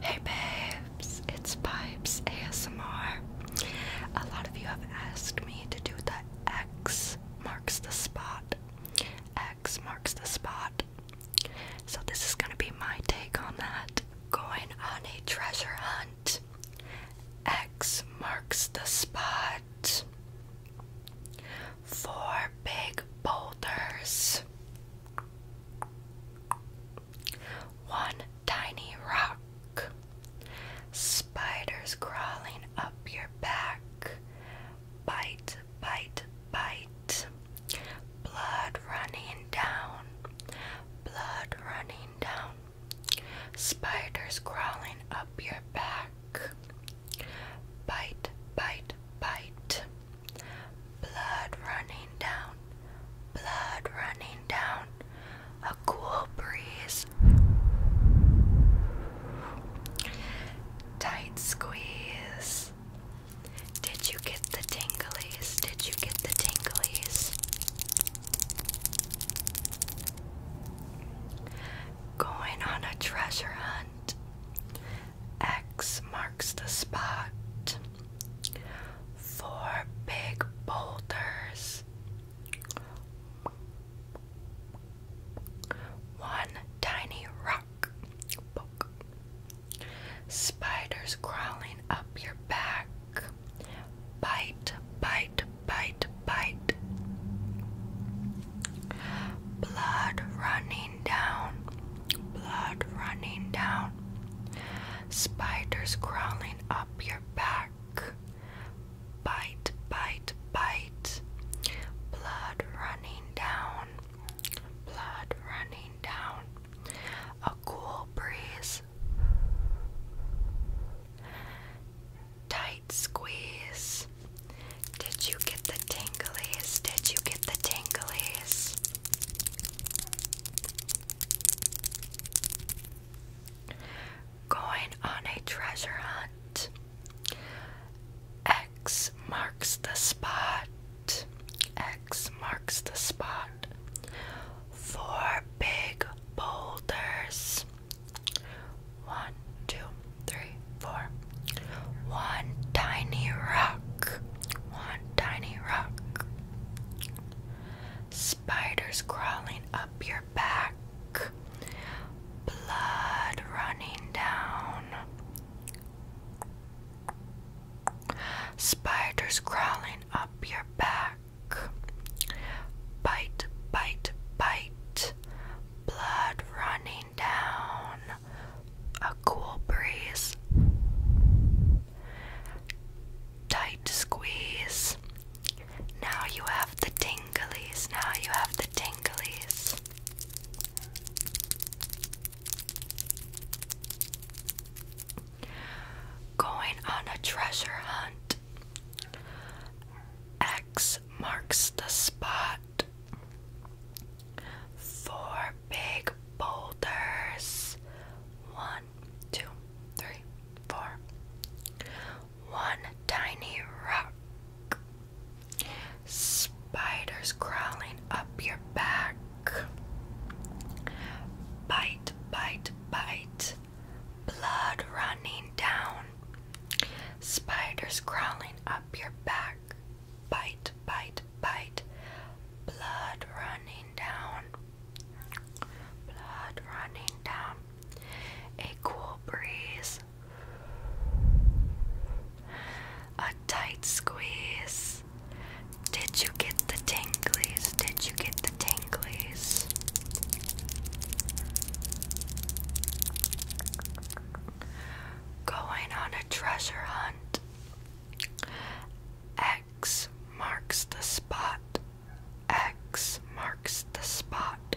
Hey babes, it's Pipes ASMR. A lot of you have asked me to do the X marks the spot. X marks the spot. So this is gonna be my take on that. Going on a treasure hunt. X marks the spot. Four big boulders. One tiny rock. Spiders crawling up your back. Bite, bite, bite. Blood running down. Blood running down. Spiders crawling up your back. Bite, bite, bite. Blood running down, blood running down, a cool breeze. Tight squeeze. Did you get the tinglies? Did you get the tinglies? Going on a treasure hunt. X marks the spot. Four big boulders. One tiny rock. Spiders crawling up your back. Bite, bite, bite, bite. Blood running blood running down, spiders crawling up your back. Bite, bite, bite, blood running down, blood running down, a cool breeze, tight squeeze. Did you get the tinglies? Did you get the tinglies? Going on a treasure hunt. X marks the spot. X marks the spot. Four big boulders. One, two, three, four. One tiny rock, one tiny rock. Spiders crawling up your back, blood running down. Spiders crawling up your back. Bite, bite, bite. Blood running down a cool breeze, tight squeeze. Now you have the tinglies, now you have the tinglies. Going on a treasure hunt. X marks the spot four big boulders. One, two, three, four. One tiny rock. Spiders crawling up your back. Bite, bite, bite. Blood running down. Spiders crawling up your back. Bite, bite, bite. Blood running down. Blood running down. A cool breeze. A tight squeeze. Did you get the tingles? Did you get the tingles? Going on a treasure hunt. X marks the spot. X marks the spot.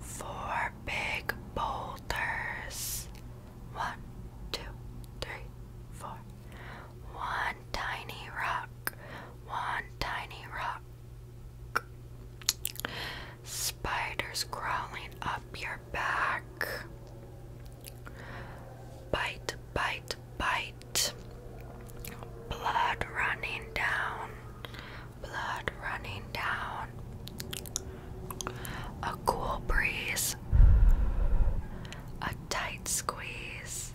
Four big boulders. One, two, three, four. One tiny rock. One tiny rock. Spiders crawling up your back. Bite, bite, bite. Blood running down. Blood running down. A cool breeze. A tight squeeze.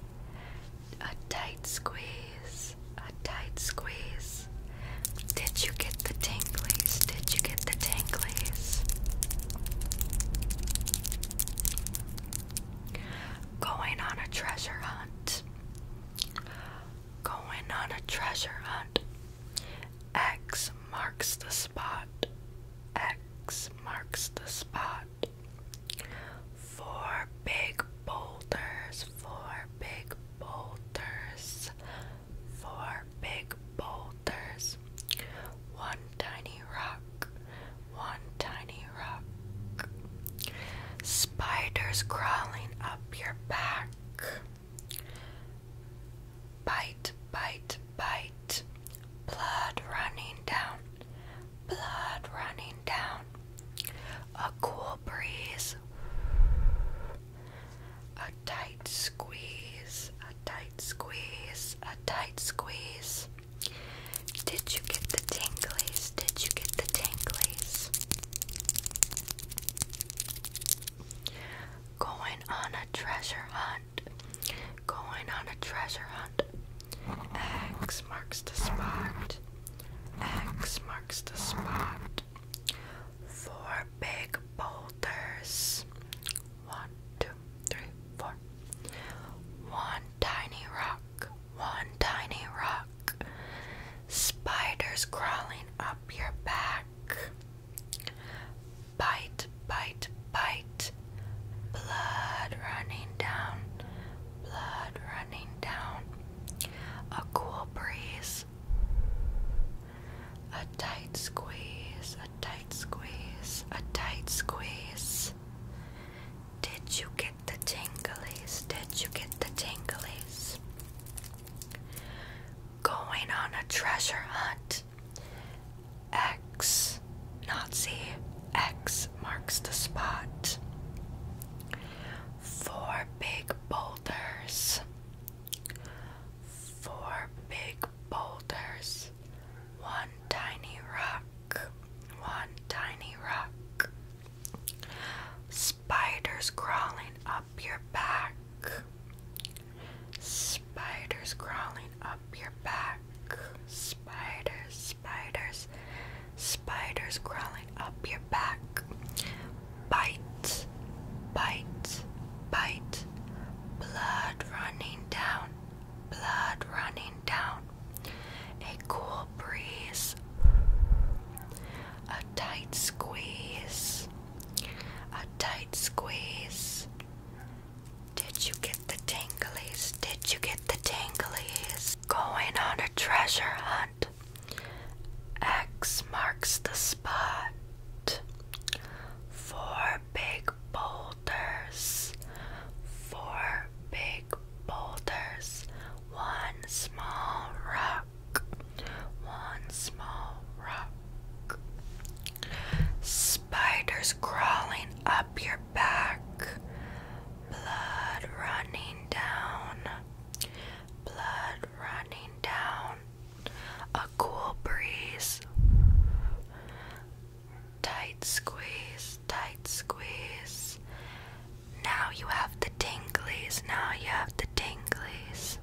A tight squeeze. A tight squeeze. Did you get the tinglies? Did you get the tinglies? Going on a treasure hunt. Going on a treasure hunt. X marks the spot. X marks the spot. Four big boulders. Four big boulders four big boulders, one tiny rock, one tiny rock, spiders crawling up your back. Bite, bite, bite, blood running down, blood running down, a cool breeze a tight squeeze, a tight squeeze, a tight squeeze. Did you get the tinglies? Did you get the tinglies? Going on a treasure hunt. Going on a treasure hunt. X marks the spot. X marks the spot. Four big boulders. One, two, three, four. One tiny rock. One tiny rock. Spiders crawling up your back. Bite, bite, bite. Blood running down. Blood running down. A cool breeze. A tight squeeze, a tight squeeze, a tight squeeze. Did you get the tinglies? Did you get the tinglies? Going on a treasure hunt. X, Nazi, X marks the spot. Four big boulders four big boulders, one tiny rock, one tiny rock, spiders crawling up your back, spiders crawling up your back, spiders, spiders, spiders crawling up your back bite, bite, bite, blood running down, blood running down, a cool breeze, a tight squeeze, a tight squeeze. Did you get the tinglies? Did you get the tinglies? Going on a treasure hunt. X marks the four big boulders, four big boulders, one small rock, one small rock. Spiders crawling up your back, blood running down, blood running down a cool breeze, tight squeeze, tight squeeze. Now you have the tinglies, now you have the tinglies.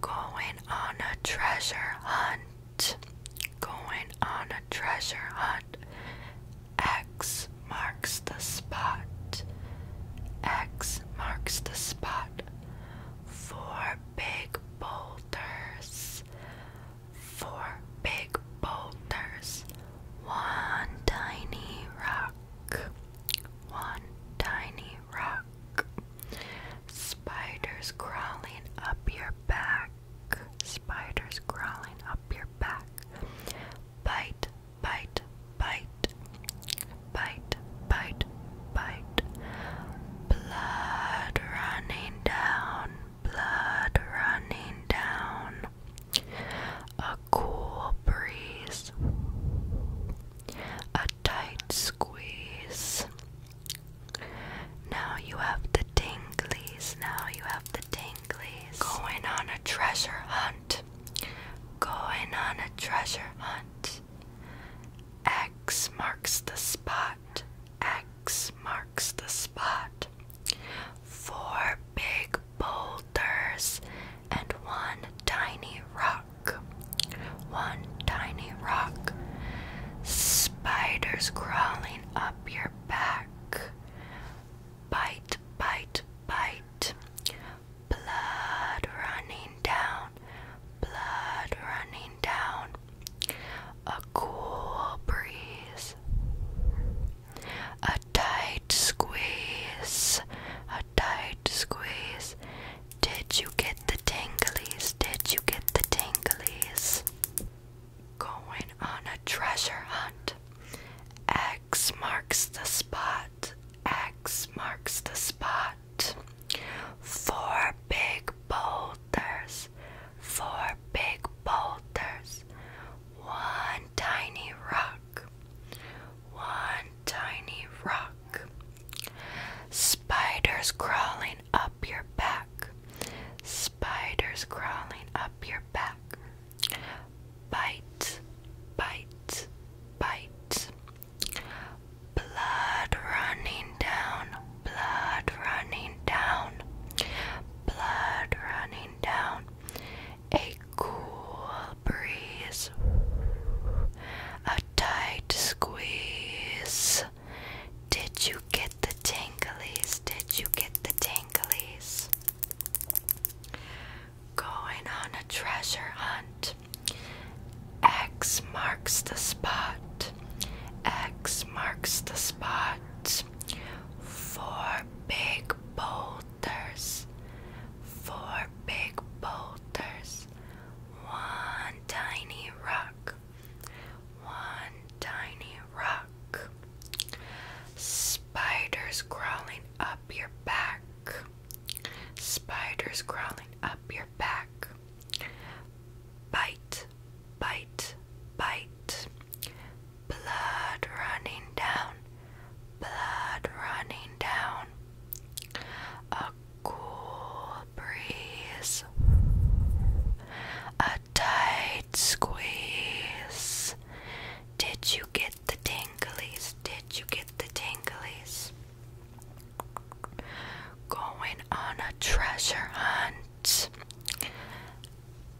Going on a treasure hunt. Going on a treasure hunt. X marks the spot. X marks the spot. Four big boulders. Four big boulders. One tiny rock. One tiny rock. Spiders crawling up your back. Spiders crawling up your back. Bite bite, bite, bite, bite, bite. Blood running down, blood running down. A cool breeze, a tight squeeze. Now you have the tinglies, now you have the tinglies. Going on a treasure hunt going on a treasure hunt. X marks the spot, X marks the spot. Four big boulders and one tiny rock. One tiny rock. Spiders crawling up your back. Bite, bite, bite blood running down, blood running down, a cool breeze, a tight squeeze, a tight squeeze. Did you get the tinglies? Did you get the tinglies? Going on a treasure hunt. Egg X marks the spot. X marks the spot. Four big boulders. Four big boulders. One tiny rock. One tiny rock. Spiders crawling up your back. Spiders crawling up your back bite, bite, bite. Blood running down, blood running down, blood running down. A cool breeze, a tight squeeze. Did you get the tingles? Did you get the tingles? going on a treasure hunt. X marks the spot. X marks the spot. Four big boulders. Four big boulders. One tiny rock. One tiny rock. Spiders crawling up your back. Spiders crawling up your back. Bite, bite, bite. Blood running down, blood running down. A cool breeze, a tight squeeze. Did you get the tinglies? Did you get the tinglies? Going on a treasure hunt.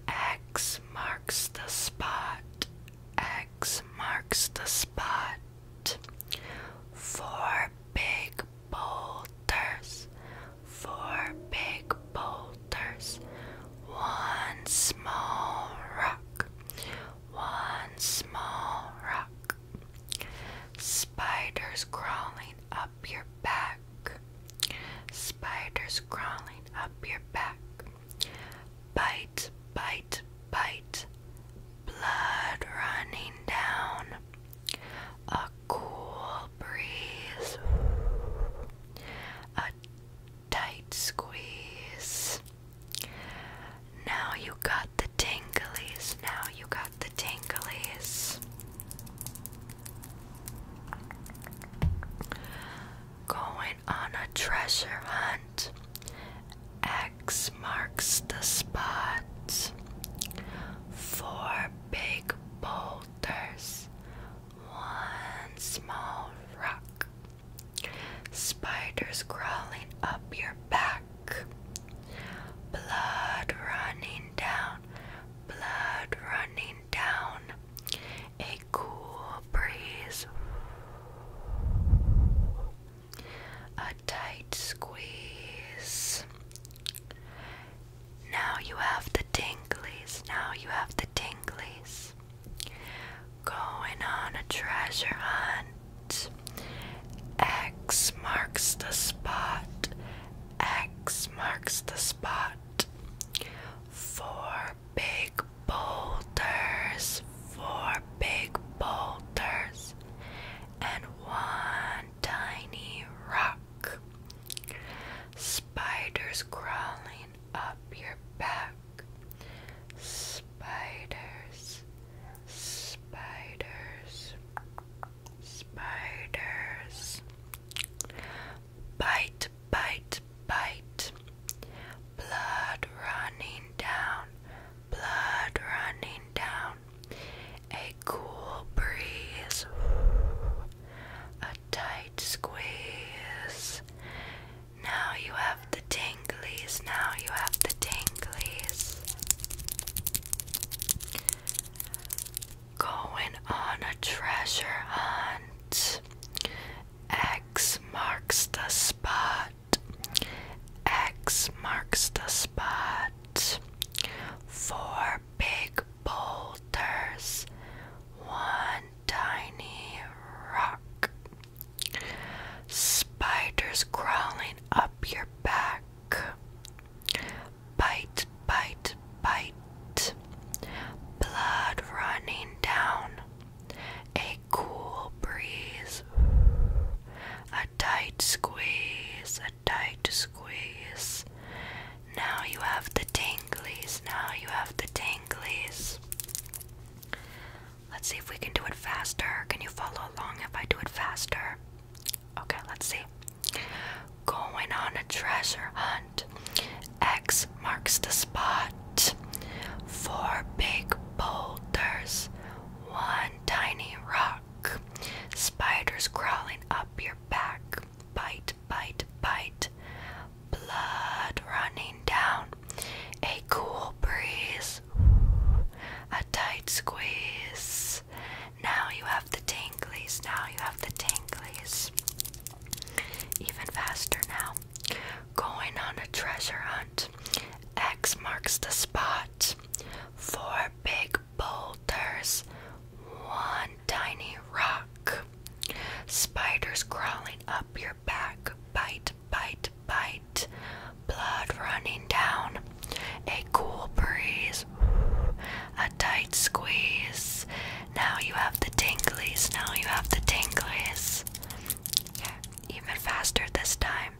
X marks the spot. X marks the spot. Four big boulders. Four big boulders. There's One small rock. One small rock. Spiders crawling up your back. Spiders crawling up your back. Bite, bite, bite. Blood running down. A cool breeze. A tight squeeze. Now you got the tinglies. Now you got the tinglies. Going on a treasure hunt. X marks the spot. Four big boulders, one small rock. Spiders crawling up your back. Blood running down. Blood running down. A cool breeze. A tight squeeze. Now you have the tinglies. Now you have the tinglies. Going on a treasure hunt. X marks the spot. X marks the spot. Four big boulders. Four big boulders. And one tiny rock. Spiders crawling up your back. Spiders, spiders, spiders. Bite, bite, bite. Blood running down, blood running down. A cool breeze, tight squeeze. Now you have the tinglies, now you have the tinglies. Going on a treasure hunt. X marks the spot. X marks the spot. Four big boulders. One, tiny rock. Spiders crawling up your back. Bite, bite, bite. Blood running down. A cool breeze. A tight squeeze, a tight squeeze. Now you have the tinglies. Now you have the tinglies. Let's see if we can do it faster. Can you follow along if I do it faster? Okay, let's see. Going on a treasure hunt. X marks the spot. Four big boulders. One tiny rock. Spiders crawling up your back. Bite, bite, bite blood running down, a cool breeze, a tight squeeze. Now you have the tinglies, now you have the tinglies. Even faster now. Going on a treasure hunt. X marks the spot. Four big boulders, one tiny rock. Spiders crawling up your back. Bite, bite, bite. Blood running down. A cool breeze. A tight squeeze. Now you have the tingles. Now you have the tingles. even faster this time.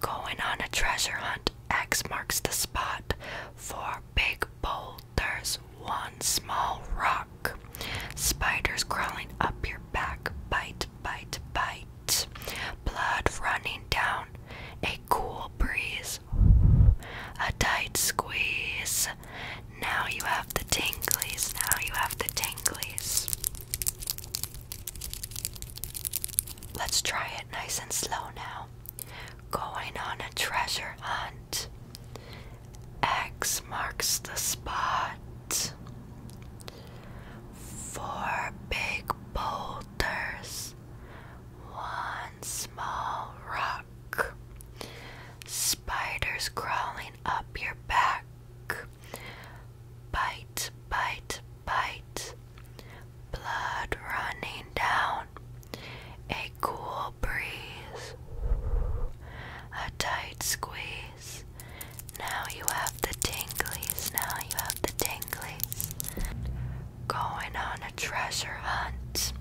Going on a treasure hunt. X marks the spot for big boulders one small rock. Spiders crawling up your back, bite, bite, bite. Blood running down, a cool breeze, a tight squeeze. Now you have the tinglies, now you have the tinglies. Let's try it nice and slow now. Going on a treasure hunt. X marks the spot. Four big boulders, one small rock. Spiders crawling up your back. Bite, bite, bite. Blood running down a cool breeze, a tight squeeze. Now you have the tinglies, now you have the tinglies. Going on a treasure hunt.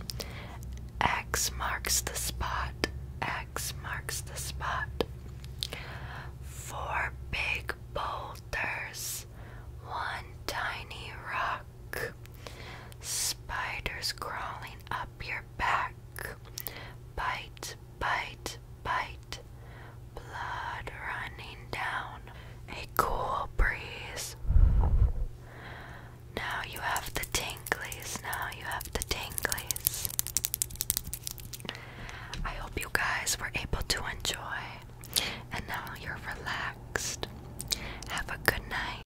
X marks the spot, X marks the spot. Four big boulders, one tiny rock. Spiders crawling up your back. Bite, bite, bite. Blood running down. A cool breeze. Now you have the tingles. Now you have the tingles. I hope you guys were able to enjoy. And now you're relaxed. Have a good night.